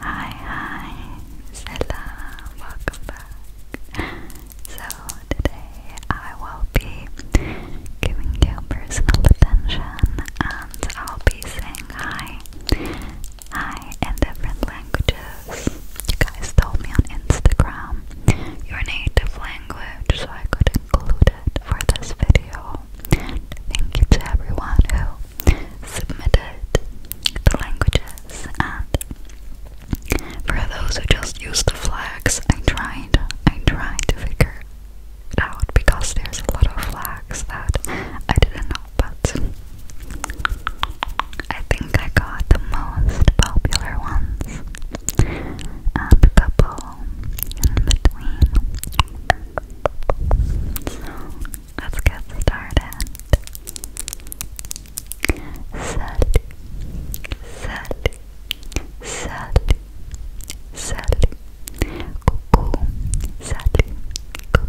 Hi, hi, Selam, welcome back. So, today I will be giving you personal attention and I'll be saying hi Hi, in different languages. You guys told me on Instagram your native language, so I could include it for this video. Thank you to everyone who submitted the languages, and for those who just used the flags, I tried, I tried to figure out because there's a lot of flags that I didn't know but I think I got the most popular ones and um, a couple in between. So let's get started. Salut, salut, salut, salut, coucou, salut, coucou.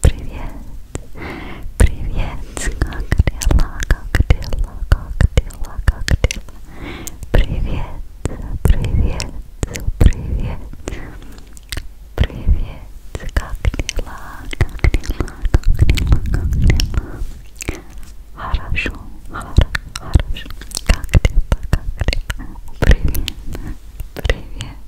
Привет, привет, как дела, как дела, как дела, как дела? Привет, привет, привет, привет, как дела, как дела, как дела, как дела? Хорошо, хорошо, хорошо, как дела, как дела? Привет, привет.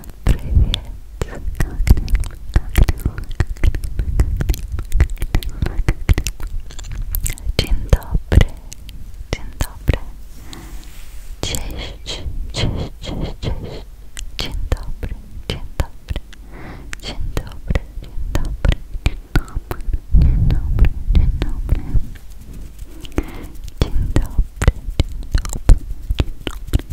Dzień dobry, dzień dobry. Cześć, cześć, cześć, cześć. Dzień dobry, dzień dobry. Dzień dobry, dzień dobry. Dzień dobry, dzień dobry, dzień dobry. Dzień dobry, dzień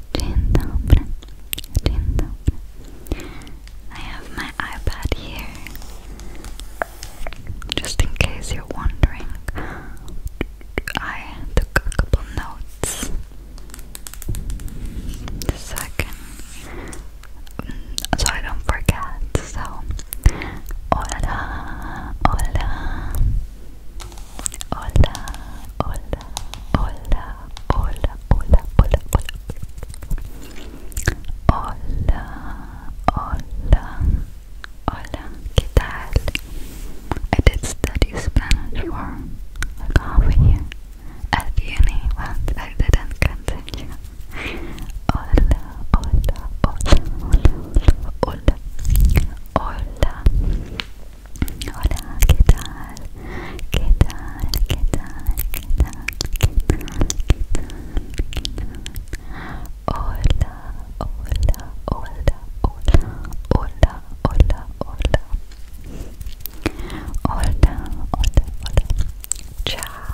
Dzień dobry. I have my iPad here. Just in case you're wondering, I took a couple notes so so I don't forget. So, hola, hola, Hola, hola, hola, hola, hola, hola, hola. Hola, hola, hola, ¿qué tal? I did study Spanish for like half a year at uni, but I didn't continue. Hola, hola, hola, hola, hola, hola, hola. Hola, ¿qué tal? ¿Qué tal? ¿Qué tal? ¿Qué tal? ¿Qué tal? Hola, hola, hola, hola, hola, hola, hola. Hola, hola, hola. Ciao.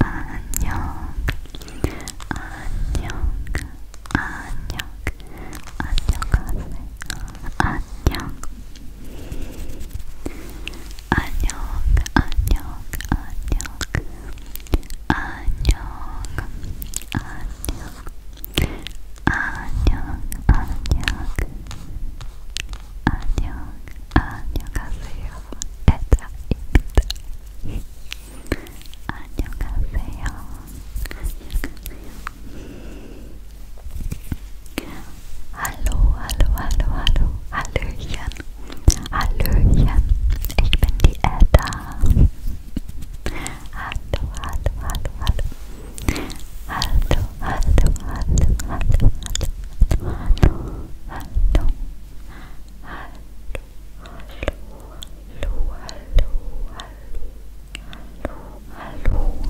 안녕, 안녕, 안녕, 안녕하세요. 안녕, 안녕, 안녕, 안녕, 안녕, 안녕. 안녕 안녕 안녕 안녕하세요. 에다입니다. Hallo, hallo, hallo, hallo. Ich bin die Edda. hallo, hallo, hallo, hallo, hallo, hallo, hallo, hallo, hallo, hallo, hallo, hallo, hallo.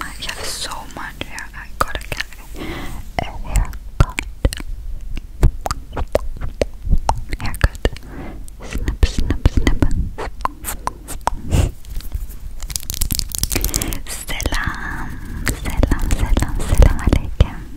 I have so much hair. I gotta get a haircut. Haircut. Snip, snip, snip. Selam, selam, selam, selam alaikum.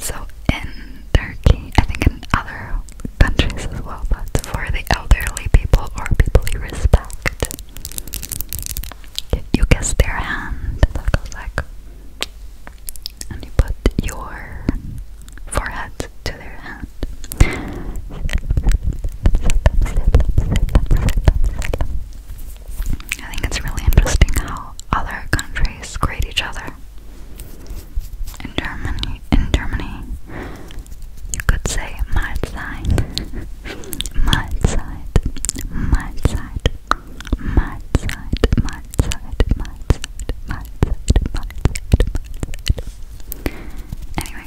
So in Turkey, I think in other countries as well, but for the elderly people or people you respect, you kiss their hand that goes like, and you put your forehead to their hand. I think it's really interesting how other countries grade each other. In Germany, in Germany, you could say Mahlzeit, Mahlzeit, Mahlzeit, Mahlzeit, Mahlzeit, Mahlzeit, Mahlzeit, Mahlzeit, Mahlzeit. Anyway,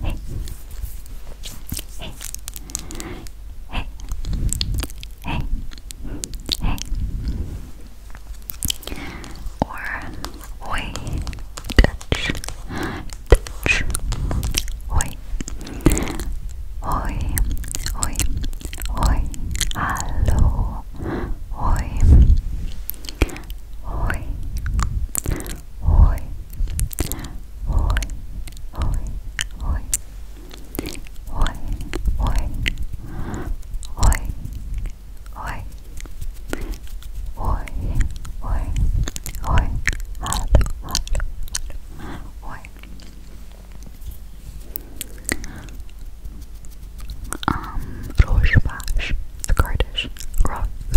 Hey. Hey. Hey. Hey. Hey. Or oi. Touch. Touch. Oi. Oi. Oi. Oi. Hello. Oi. Oi. Oi. Hoy, hoy, hoy. Hoy, hoy. Hoy, hoy. Hoy, hoy. Hoy. Hallo, hallo, hallo. Hoy. Um, Rojbash, the Kurdish, Rojbash.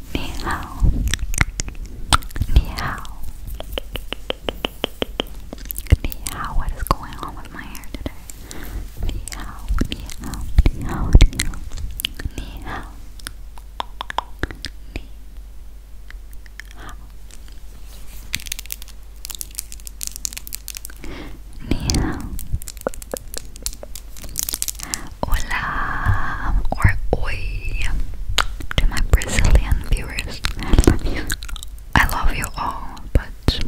你好，你好，你好。What is going on with my hair today? 你好，你好，你好，你好，你好，你好，你好。hola or oi to my Brazilian viewers. I love you, all, but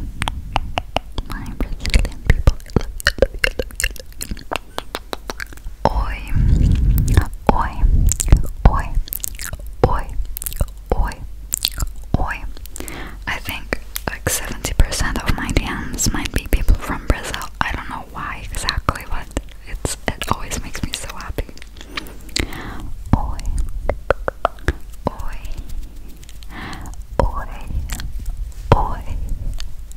my Brazilian people. Oi, oi, oi, oi, oi, oi. I think like 70% of my DMs might be people from Brazil. I don't why exactly, but it's it always makes me so happy. Oi, oi, oi, oi,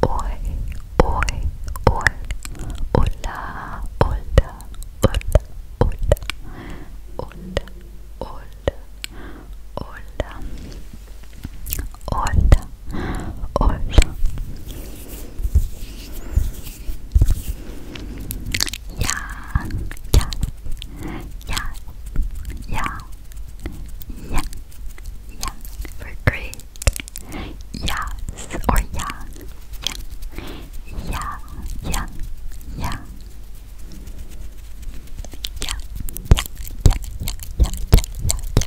oi, oi, oi. Hola, hola, hola, hola, hola, hola, hola, hola hola. Yeah, yeah, yeah, yeah, yeah, yeah. we great. Yes or yeah, yeah, yeah, yeah. Yeah, yeah, yeah, yeah, yeah, yeah, yeah, yeah,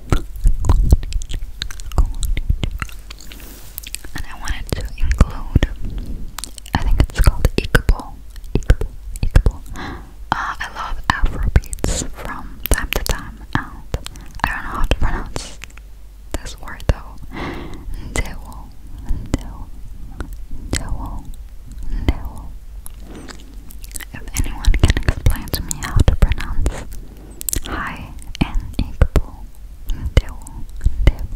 And I wanted to include, I think it's called Ichabod. Ichabod, Ichabod. Uh, ah, I love Afro beats from time to time, and I don't know how to pronounce this word though. Devil, devil, devil, devil. If anyone can explain to me how to pronounce high and equal devil, devil,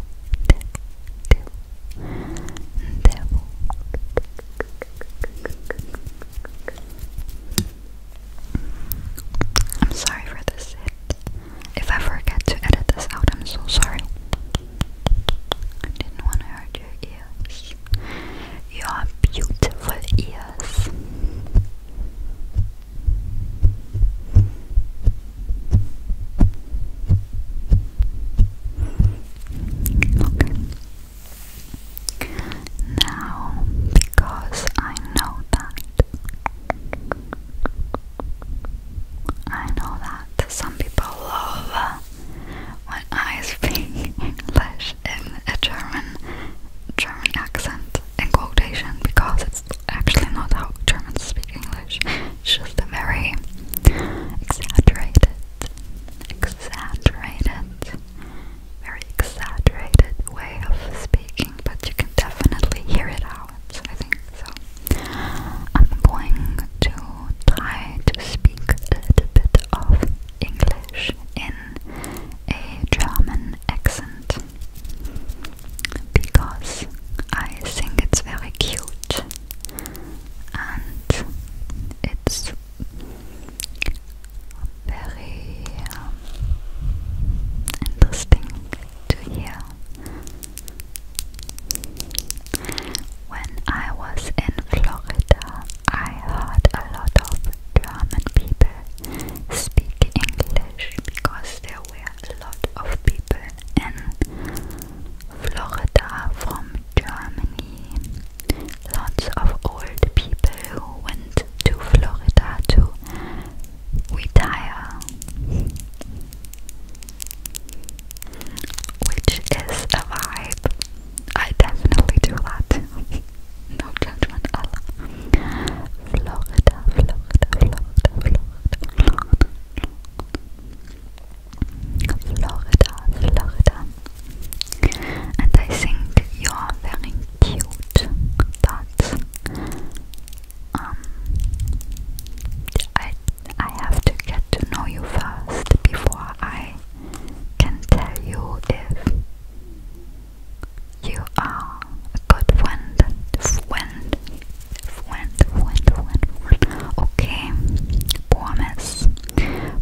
devil, devil, devil. I'm sorry for this If I forget to edit this out, I'm so sorry. I didn't want to hurt your ears your beautiful ears. Okay. Now, because I know that, I know that some people love when I speak English in a German German accent in quotation because it's actually not how Germans speak English. It's just a very exaggerated exaggerated very exaggerated way of speaking, but you can definitely hear it out, I think so. I'm going to try to speak a little bit of English in a German accent because I think it's very cute and it's very um, interesting to hear. When I was in Florida, I heard a lot of German people speak English because there were a lot of people in Florida from Germany. Lots of old people who went to Florida to retire, which is a vibe I definitely do that. no judgment, Allah. Florida, Florida, Florida, Florida. Florida, Florida. And I think you are very cute, but um, I I have to get to know you first before I can tell you if you are a good friend, friend, friend, friend, friend. Okay, promise,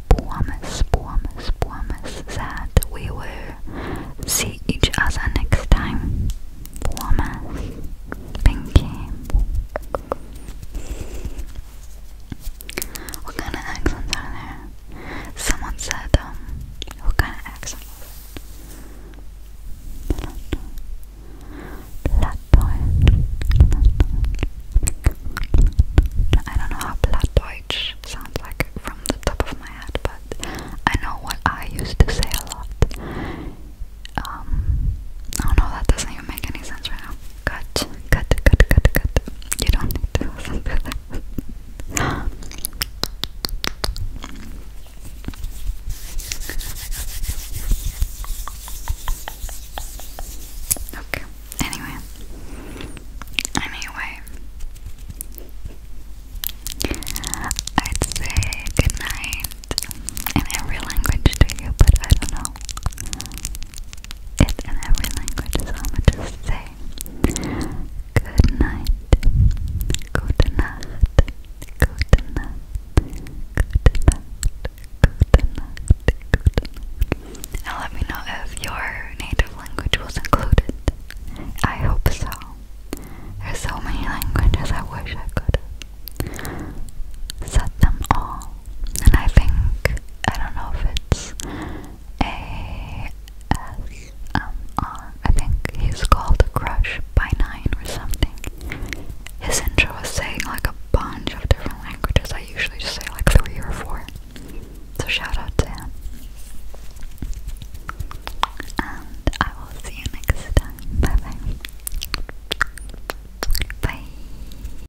promise, promise, promise that we will see each other next time. Promise, thank what kind of accents are there? Someone said, um, what kind of accent Plattdeutsch. I don't know how Plattdeutsch sounds like from the top of my head, but I know what I used to say a lot. Um, oh no, that doesn't even make any sense right now. Cut, cut, cut, cut, cut. You don't need to listen to okay, anyway. Anyway. I'd say goodnight in every language to you, but I don't know it in every language is how much to say. Good night. Gute Nacht. Gute Nacht. Gute Nacht. Gute let me know if your native language was included. I hope so. There's so many languages I wish I could have them all and I think I don't know if it's ASMR. think he's called Crush by Nine or something. His intro was saying like a bunch of different languages. I usually just say like three or four. So shout out to him. And I will see you next time. Bye bye. Bye.